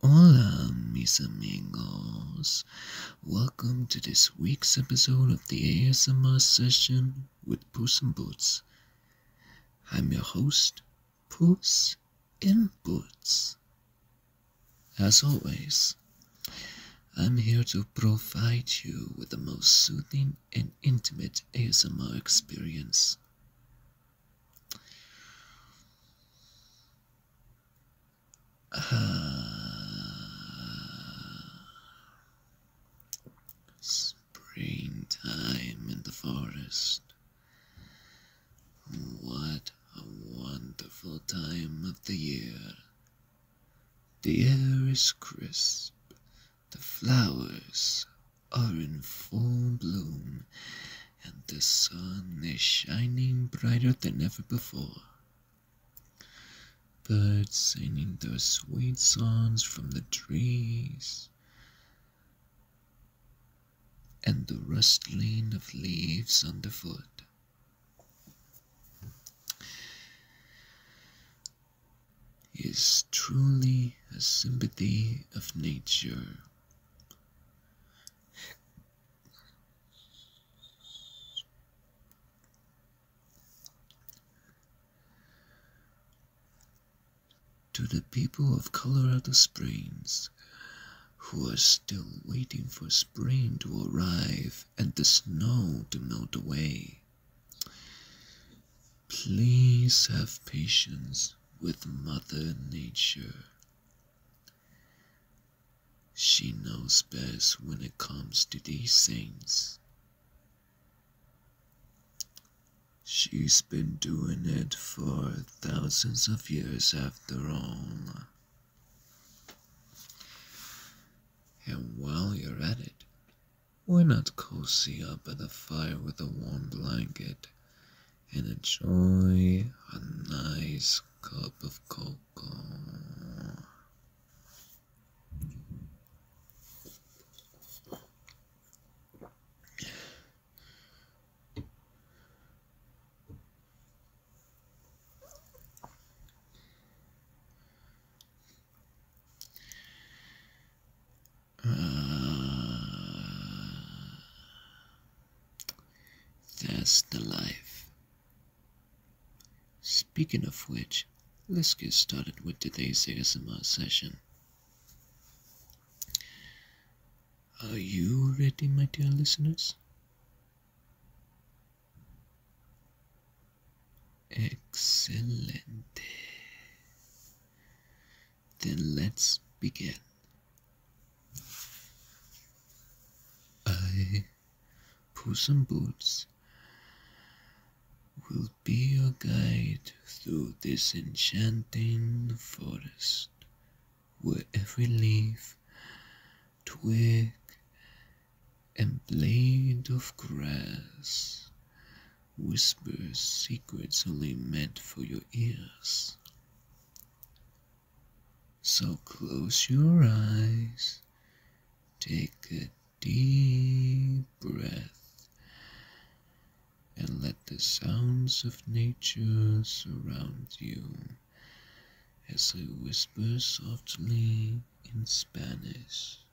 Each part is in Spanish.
Hola, mis amigos. Welcome to this week's episode of the ASMR session with Puss in Boots. I'm your host, Puss in Boots. As always, I'm here to provide you with the most soothing and intimate ASMR experience. Uh, springtime in the forest. What a wonderful time of the year. The air is crisp, the flowers are in full bloom, and the sun is shining brighter than ever before. Birds singing their sweet songs from the trees, and the rustling of leaves underfoot. Is truly a sympathy of nature. To the people of Colorado Springs who are still waiting for spring to arrive and the snow to melt away. Please have patience with Mother Nature. She knows best when it comes to these things. She's been doing it for thousands of years after all. And while you're at it, why not cozy up by the fire with a warm blanket and enjoy a nice cup of cocoa. Uh, that's the life. Speaking of which, let's get started with today's ASMR session. Are you ready, my dear listeners? Excellent. Then let's begin. I, Puss in Boots, will be your guide through this enchanting forest, where every leaf, twig, and blade of grass whispers secrets only meant for your ears. So close your eyes, take a deep breath, and let the sounds of nature surround you as I whisper softly in Spanish.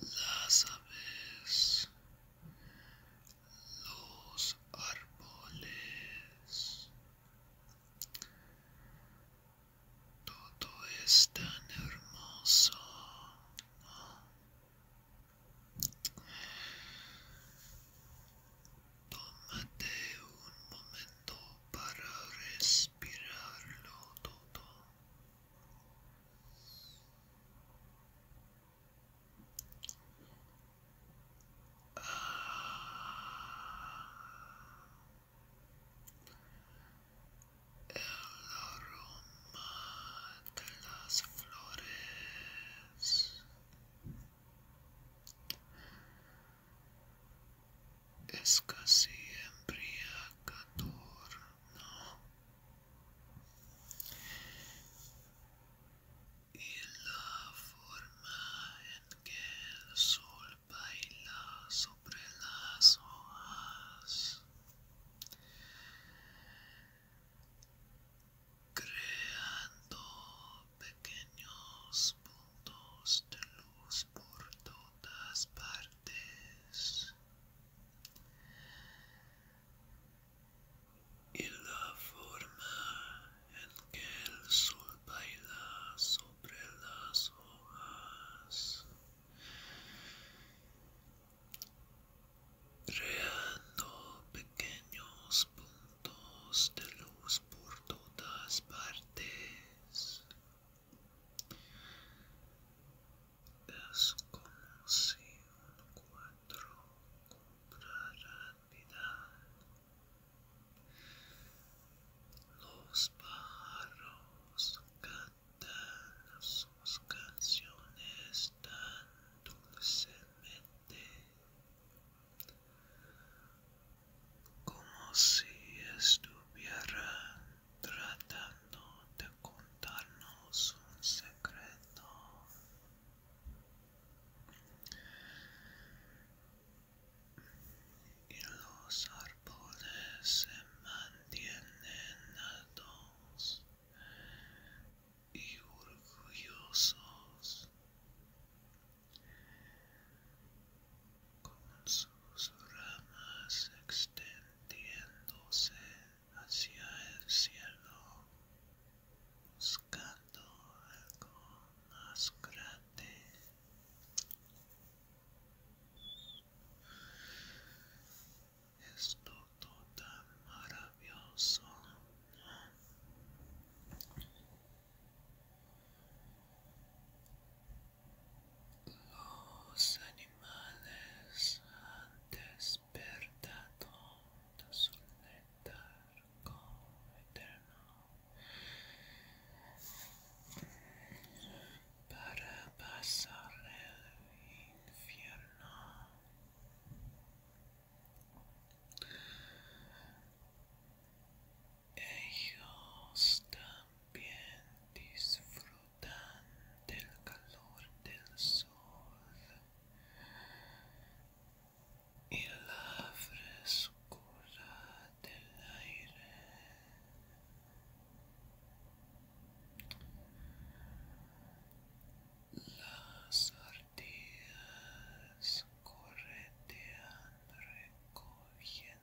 las aves, los árboles, todo es tan hermoso. Tómate un momento para respirarlo todo. El aroma de las flores es casi embriagador, ¿no? y la forma en que el sol baila sobre las hojas creando pequeños puntos de luz por todas partes y la forma en que el sol baila sobre las hojas, creando pequeños puntos de luz por todas partes. Es como si un cuatro comprara vida. Los pájaros cantan sus canciones tan dulcemente como si estuvieran tratando de contarnos un secreto. Y los árboles se mantienen altos y orgullosos con sus ramas extendiéndose hacia el cielo, buscando algo más grande. Es todo tan maravilloso. Los animales han despertado de su letargo eterno para pasar el infierno. Ellos también disfrutan del calor del sol y la frescura del aire. Las ardillas corretean recogiendo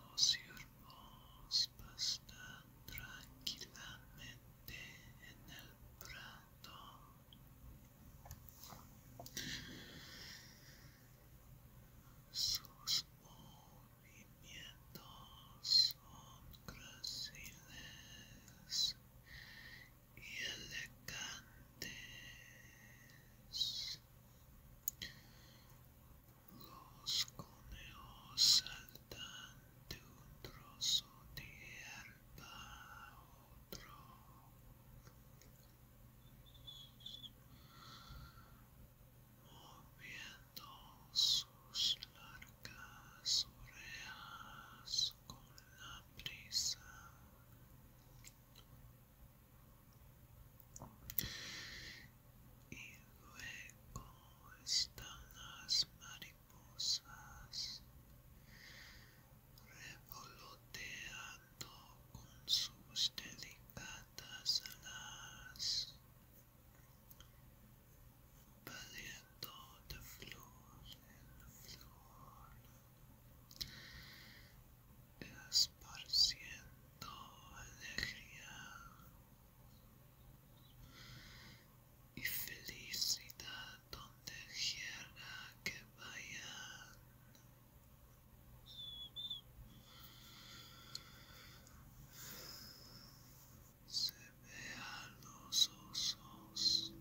Los ciervos pastan tranquilamente en el prato. Sus movimientos son gráciles y elegantes. Los coneos saltan de un trozo de hierba a otro. Moviendo sus largas orejas con la prisa. Y luego están las mariposas revoloteando con sus delicadas alas. Barriendo de flor en flor, esparciendo alegría y felicidad donde quiera que vayan. se ve a los osos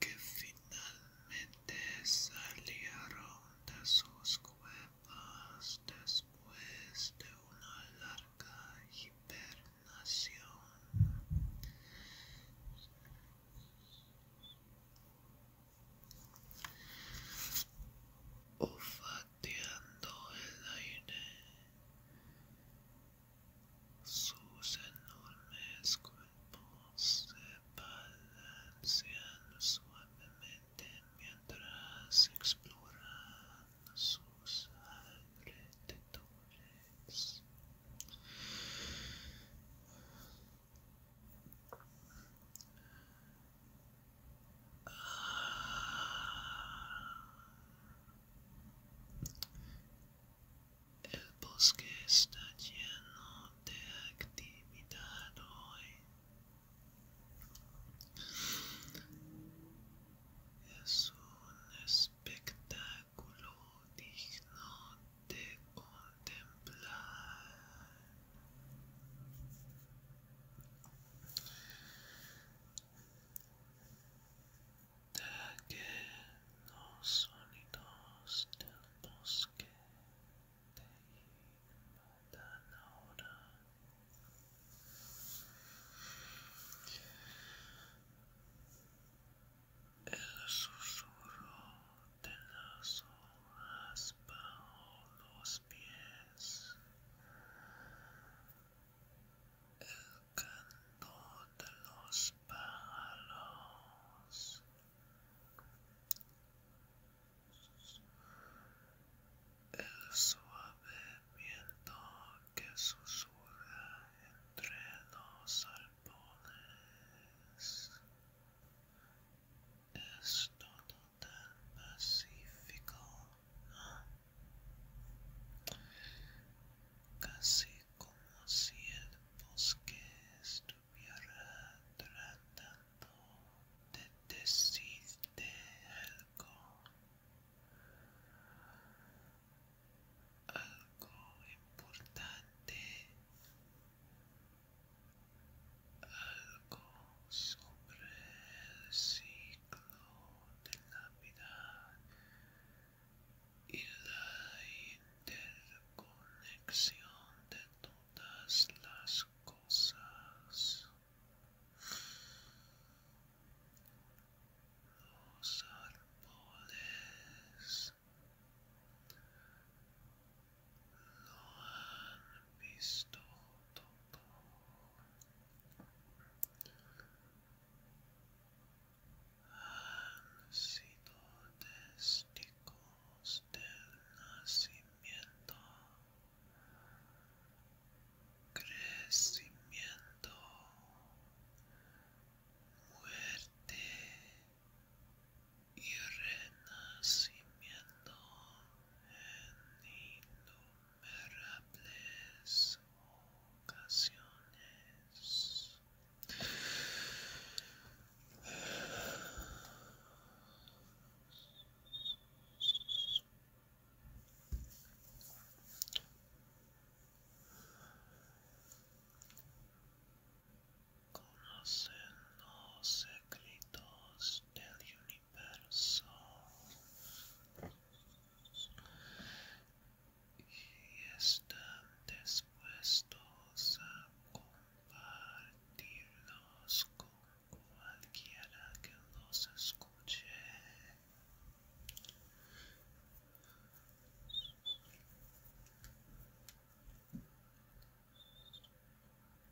que finalmente salieron de sus cuevas después de una larga hibernación el aire. Sus enormes cuerpos se balancean suavemente mientras exploran sus alrededores. El bosque está lleno de actividad hoy. Es un espectáculo digno de contemplar. da que los sonidos del bosque te invadan ahora. El susurro de las hojas bajo los el canto de los pájaros. El suave viento que susurra entre los alpones tan Pacífico, casi como si el bosque estuviera tratando de decirte algo, algo importante algo sobre el ciclo de la vida y la interconexión de todas las cosas. Los árboles lo han visto todo. Han sido testigos del nacimiento, crecimiento, muerte y renacimiento en innumerables ocasiones. Conocen los secretos del y están dispuestos a compartirlos con cualquiera que los escuche.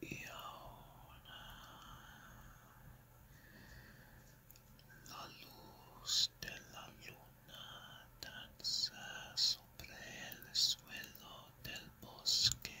Y ahora la luz de la luna danza sobre el suelo del bosque.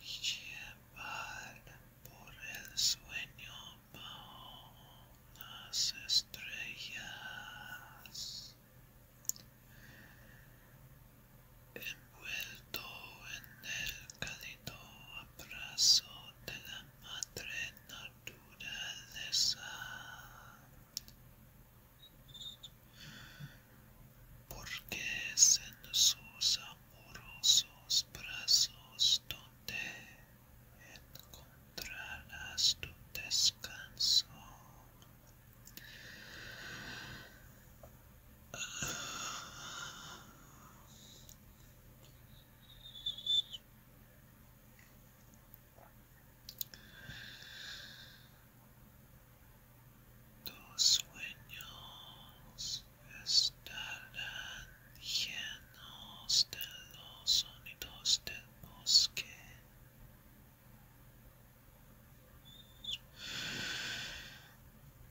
llevar por el sueño bajo las estrellas, envuelto en el cálido abrazo de la madre naturaleza porque es en sus amorosos brazos donde encontrarás tu descanso. Tus sueños estarán llenos de los sonidos del bosque.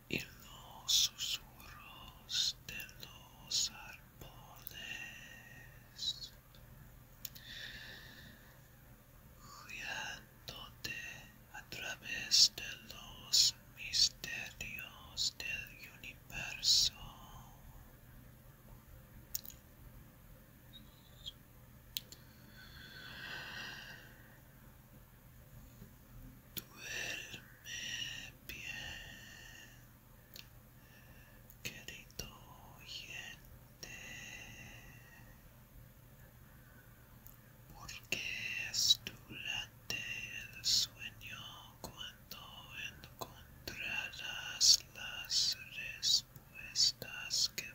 Y los susurros de los árboles guiándote a través de los misterios del universo. Duerme bien, querido oyente. porque es durante el sueño cuando encontrarás las respuestas que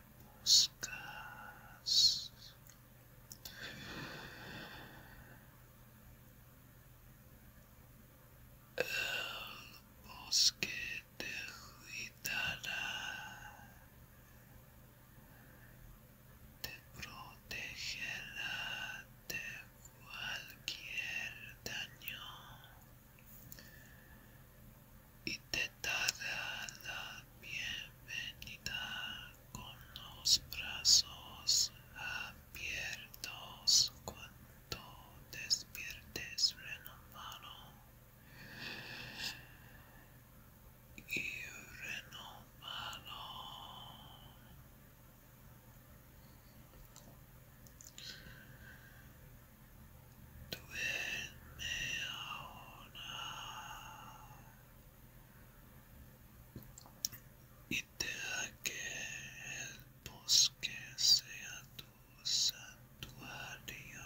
buscas. El bosque te cuidará te protegerá de cualquier daño y te dará la bienvenida con los brazos abiertos cuando despiertes renovado Urinal Malone. Y deja que el bosque sea tu santuario.